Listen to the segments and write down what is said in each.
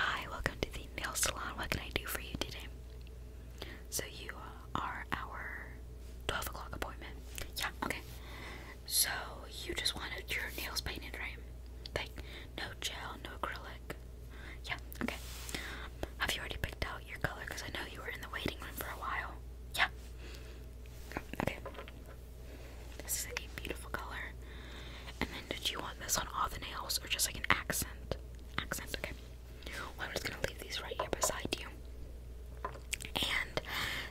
Hi, welcome to the nail salon. What can I do for you today? So, you are our 12 o'clock appointment. Yeah, okay. So, you just wanted your nails painted, right? Like, no gel, no acrylic. Yeah, okay. Have you already picked out your color? Because I know you were in the waiting room for a while. Yeah. Okay. This is like a beautiful color. And then did you want this on all the nails or just like an accent? Accent, okay. Well, I'm just gonna leave these right here beside you. And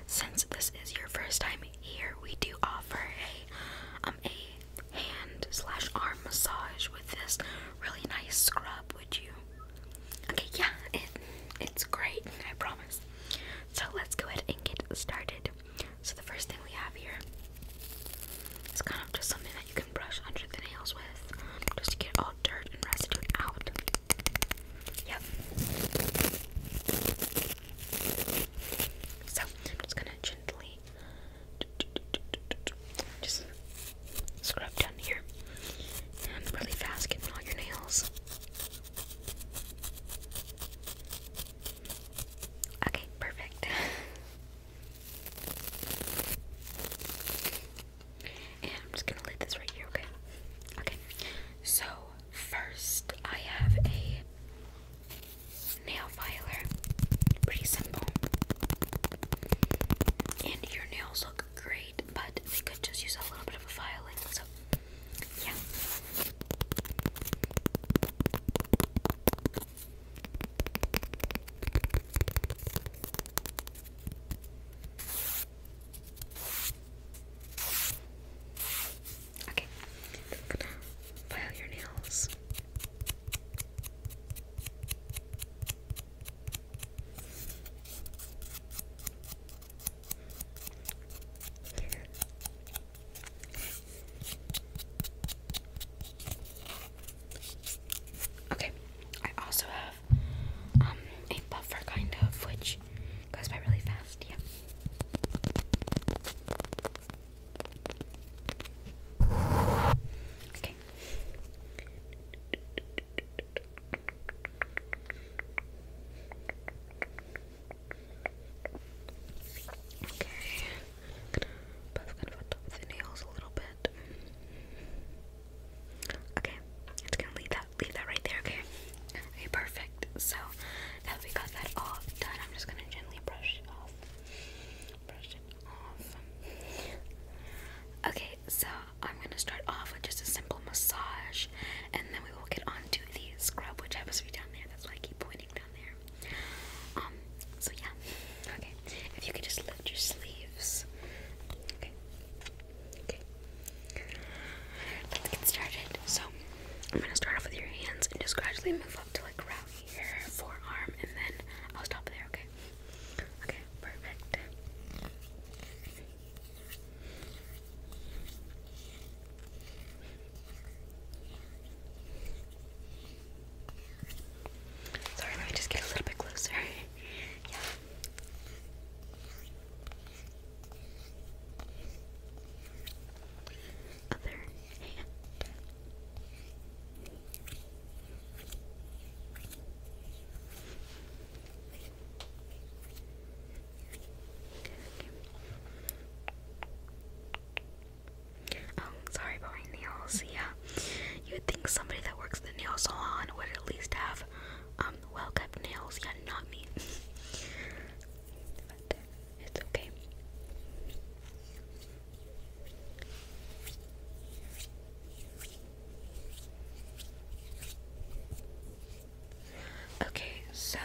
since this is your first time here, we do offer a um a hand slash arm massage with this really nice scrub. Would you? Okay, yeah, it's great. I promise. So let's go ahead and get started. So the first thing we have here is kind of just something that you can brush under the nails with, just to get all dirt and residue out. Yep. So I'm just gonna gently just scrub down here and really fast getting all your nails. Okay, perfect. And I'm just gonna leave this right here, okay? Okay. So first I have a nail filer. Pretty simple. And your nails look great, but they could just use a little bit of a filing, so yeah. Okay, file your nails. Okay, I also have um, a buffer kind of which goes by really fast, yeah. Okay. Okay. I'm gonna put the nails a little bit. Okay, it's gonna leave that leave that right there, okay? Okay, perfect. So now we got that all done, I'm just gonna gently brush it off. Brush it off. Okay, so I'm gonna start off with just a simple massage and then we will get on the scrub which happens to be down there. That's why I keep pointing um, so yeah. Okay. If you could just lift your sleeves. Okay. Okay. Let's get started. So I'm gonna start off with your hands and just gradually move up to like around your forearm, and then I'll stop there, okay? Okay, perfect. Okay. Sorry, let me just get a little bit closer. yeah. Other hand. Okay, okay. Um, sorry about my nails. Yeah, you would think somebody that works the nail salon would at least have um, well-kept nails. Yeah, not me. it's okay. Okay, so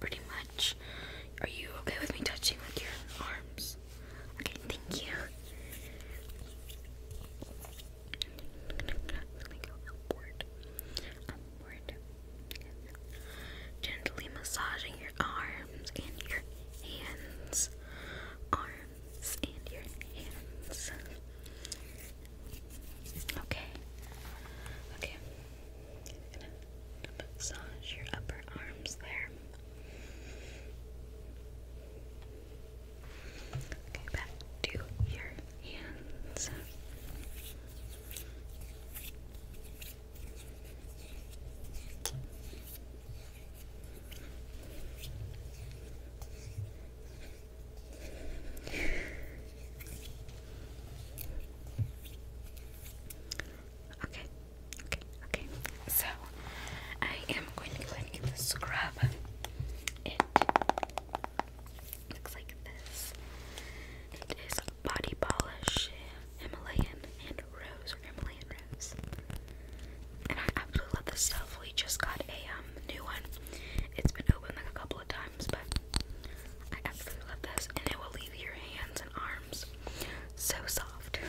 pretty much, are you okay with me touching with your arms? Okay, thank you. Let me go upward. Upward. Gently massaging your arms and your hands. Arms and your hands. Okay. Okay. Gonna massage your upper arms there. Okay, back to your hands. Okay, Okay, okay. So I am going to go ahead the scrub. It looks like this. It is body polish, Himalayan and rose or Himalayan rose. And I absolutely love this stuff. We just got a um, new one. It's been opened like a couple of times, but I absolutely love this, and it will leave your hands and arms so soft.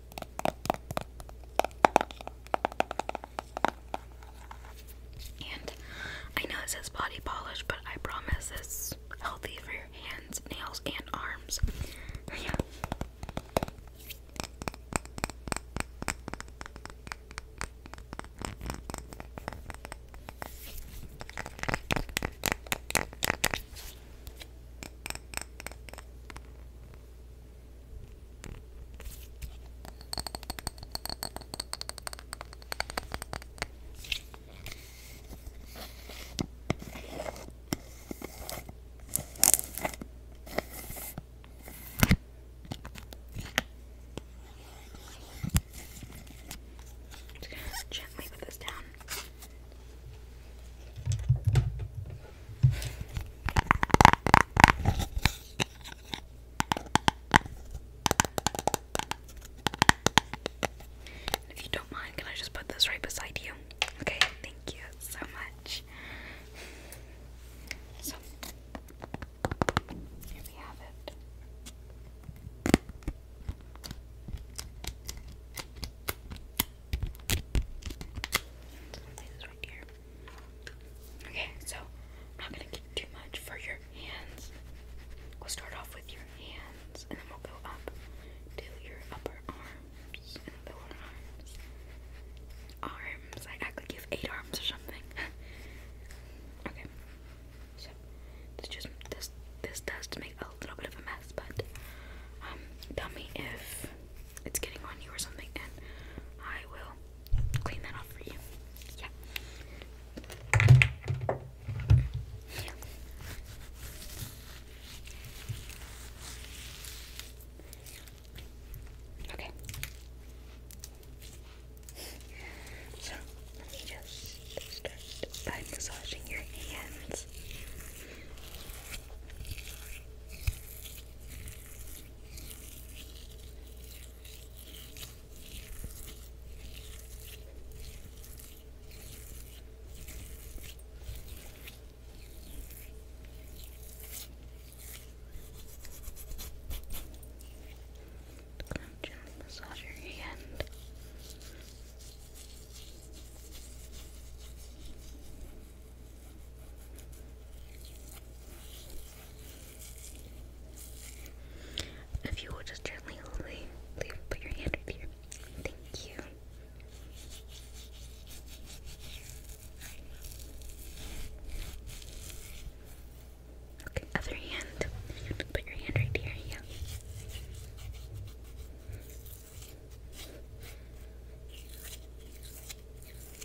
And I know it says body polish, but I promise it's healthy for your hands, nails, and arms. yeah just gently put this down. If you don't mind, can I just put this right beside you? Okay, thank you so much. So, here we have it. Okay, so I'm not gonna get too much for your hands. We'll start off with your hands, and then we'll go up to your upper arms and lower arms. Arms. I could give eight arms or something. okay. So this just this this does make a little bit of a mess, but um, tell me if it's getting on you or something, and I will clean that off for you. Yeah. Okay. So let me just start by massaging your hands. Gently massage your hand. If you will just gently leave, leave put your hand up here. Thank you. Okay, other hand. Put your hand right here. Yeah.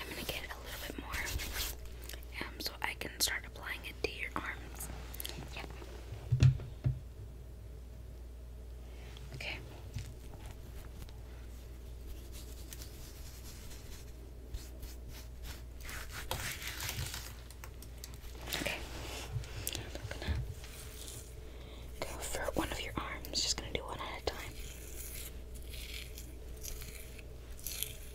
I'm gonna get a little bit more um, so I can start applying it to your arms. Okay. Okay. I'm gonna go for one of your arms. Just gonna do one at a time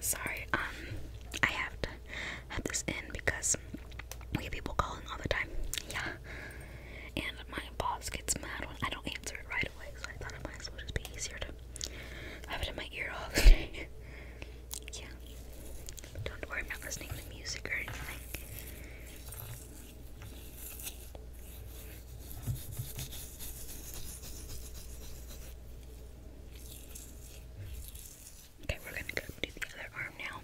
Sorry, um, I have to have this in because we have people calling all the time. Yeah. And my boss gets mad when I don't answer it right away, so I thought it might as well just be easier to have it in my ear all day. yeah. Don't worry, I'm not listening to music or anything. Okay, we're gonna go do the other arm now.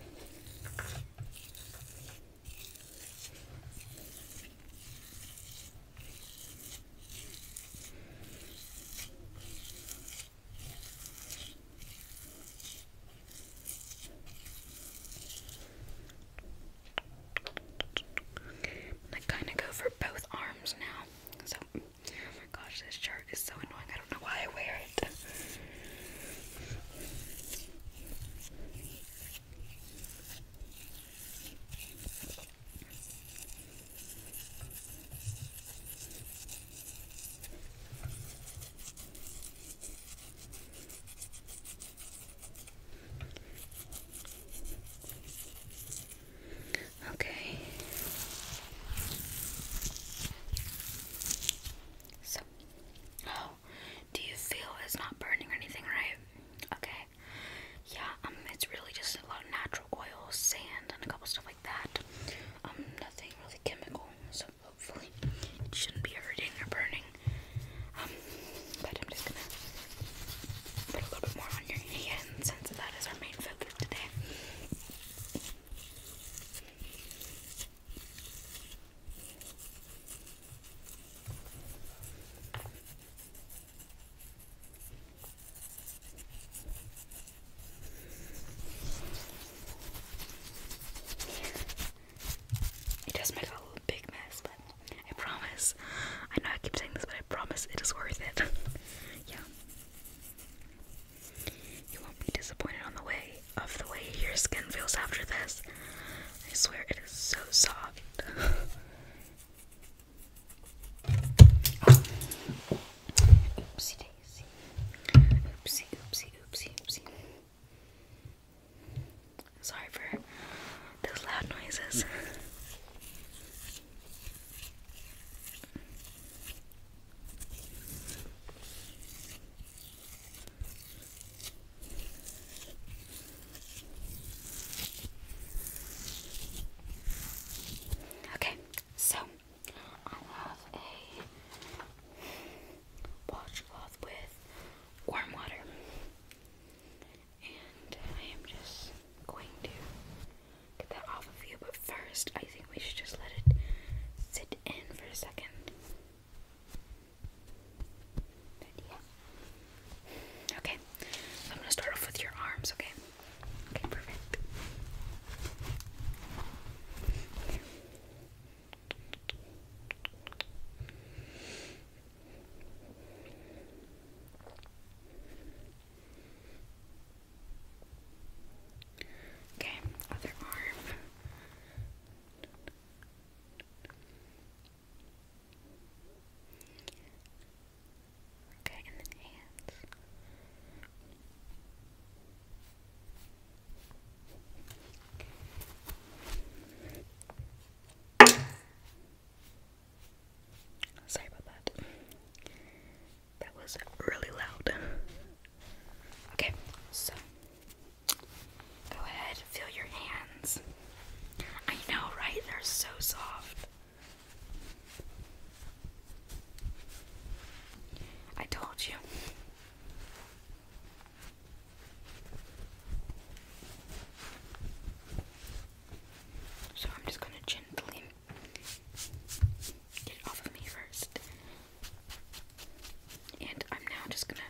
I kind of go for both arms now, so oh my gosh, this shirt is so annoying. I don't know why I wear it. Okay. So, oh, do you feel it's not burning or anything, right? Okay. Yeah, um, it's really just a lot of natural oil, sand, and a couple stuff like that. Um, nothing really chemical, so hopefully shouldn't be hurting or burning. Um, but I'm just gonna put a little bit more on your hands since that is our main focus today. It does make a little big mess, but I promise. I know I keep saying this, but I promise it is worth it. yeah. You won't be disappointed on the way of the way your skin feels after this. I swear it is so soft. oopsie daisy. Oopsie, oopsie, oopsie, oopsie. Sorry for those loud noises. Okay, so I have a washcloth with warm water, and I am just going to get that off of you. But first, I think we should just let it sit in for a second. Okay, I'm gonna start off with your arms, okay? Okay, perfect. Okay, other arm. Okay, and then hands. Sorry about that. That was really loud. Okay, so go ahead, feel your hands. I know, right? They're so soft. I told you. So I'm just going to gently Get off of me first. And I'm now just gonna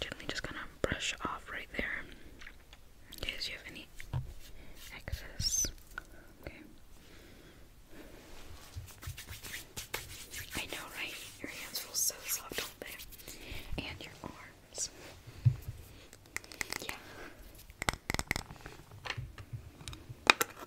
gently just gonna brush off right there. In case you have any excess. Okay. I know, right? Your hands feel so soft, don't And your arms. Yeah.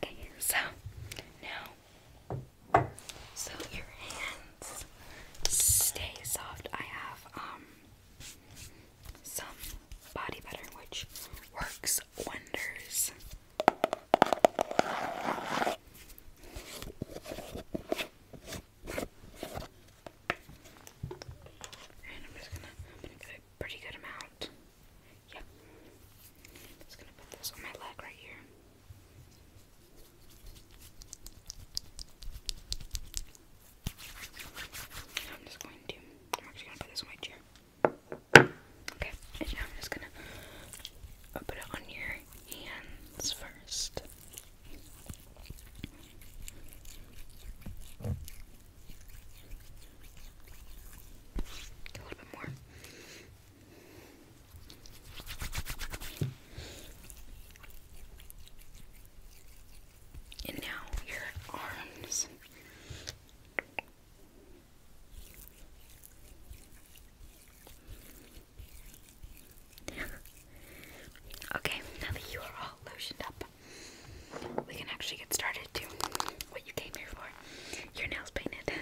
Okay, so now, so your hands stay soft. I have um some body butter which works wonders. And I'm just gonna, get a pretty good amount. Yep. just gonna put this on my leg right here. I'm just going to, I'm actually gonna put this on my chair. Okay, and now I'm just gonna put it on your hands first. A little bit more. And now your arms. Okay, now that you are all lotioned up, we can actually get started doing what you came here for. Your nails painted.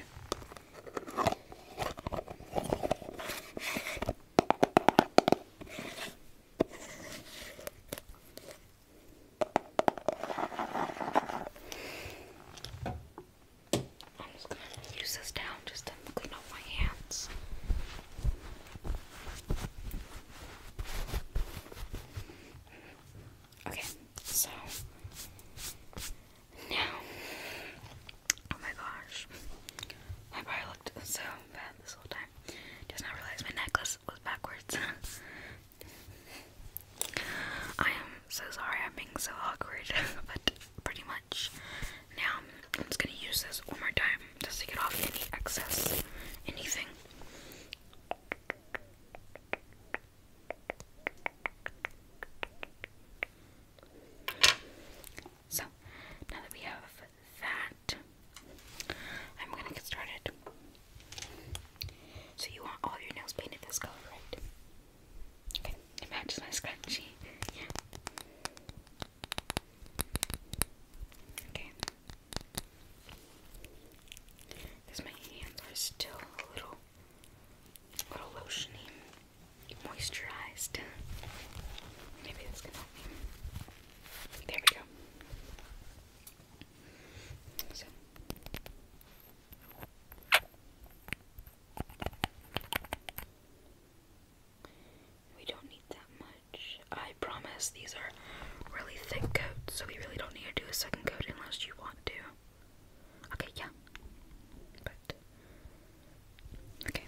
I'm just gonna use this down just clean off my hands. Okay, so now, oh my gosh, I probably looked so bad this whole time. Just now realized my necklace was backwards. I am so sorry I'm being so awkward, but pretty much now, I'm just gonna use this one more time just to get off any excess, anything. So, now that we have that, I'm gonna get started. So, you want all your nails painted this color, right? Okay, it matches my scrunchie. Yeah. Okay. Because my hands are still a little, little lotiony, moisturized. Maybe this can help There we go. So. We don't need that much. I promise these are really thick coats, so we really don't need to do a second coat unless you want to. Okay, yeah. But okay.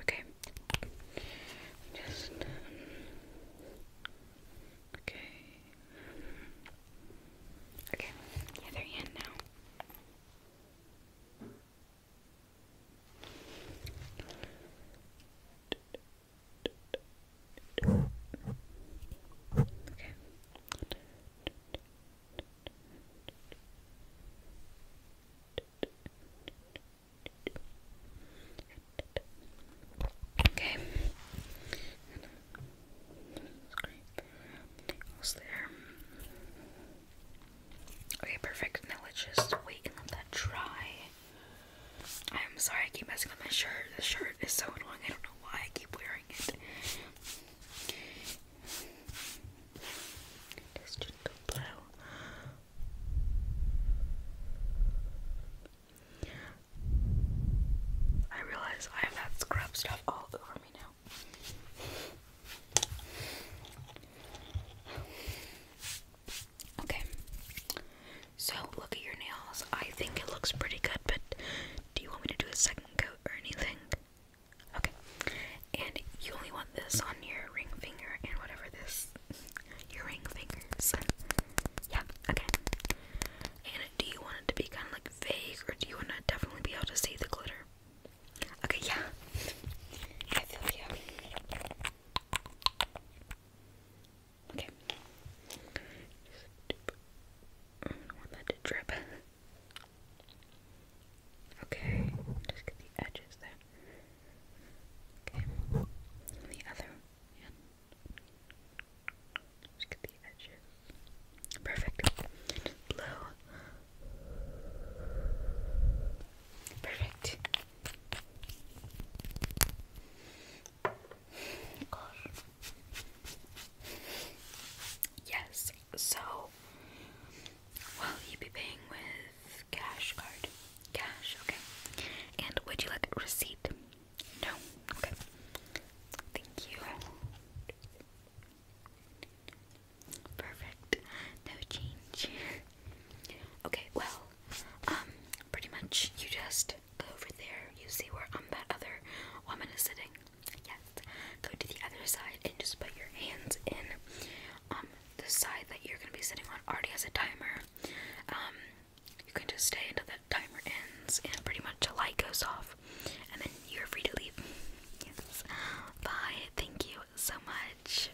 Okay. Just okay. Okay. Yeah, they're in now. Okay. Okay. there. Okay, perfect. Now let's just wait and let that dry. I'm sorry I keep messing up my shirt. This shirt is so annoying. I don't know why I keep wearing it. let just go blue. I realize I have that scrub stuff all over me now. Okay, so look at your nails. I think it looks pretty good, but do you want me to do a second coat or anything? Okay. And you only want this on your ring finger and whatever this your ring fingers. Yeah, okay. And do you want it to be kinda like vague or do you wanna definitely be able to see the glitter? Okay, yeah. I feel you. Okay. I don't want that to drip. Okay, just get the edges there. Okay, the other hand. Just get the edges. Perfect. Blow. Perfect. Yes, so will you be paying with cash card? Cash, okay. And would you like receipt? No? Okay. Thank you. Perfect. No change. okay, well, um, pretty much you just go over there, you see where um that other woman is sitting. Yes. Go to the other side and just put your hands in um, the side that you're gonna be sitting on already has a timer. Um you can just stay until that timer ends and pretty much the light goes off and then you're free to leave. Yes. Bye. Thank you so much.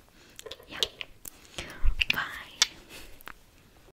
Yeah. Bye.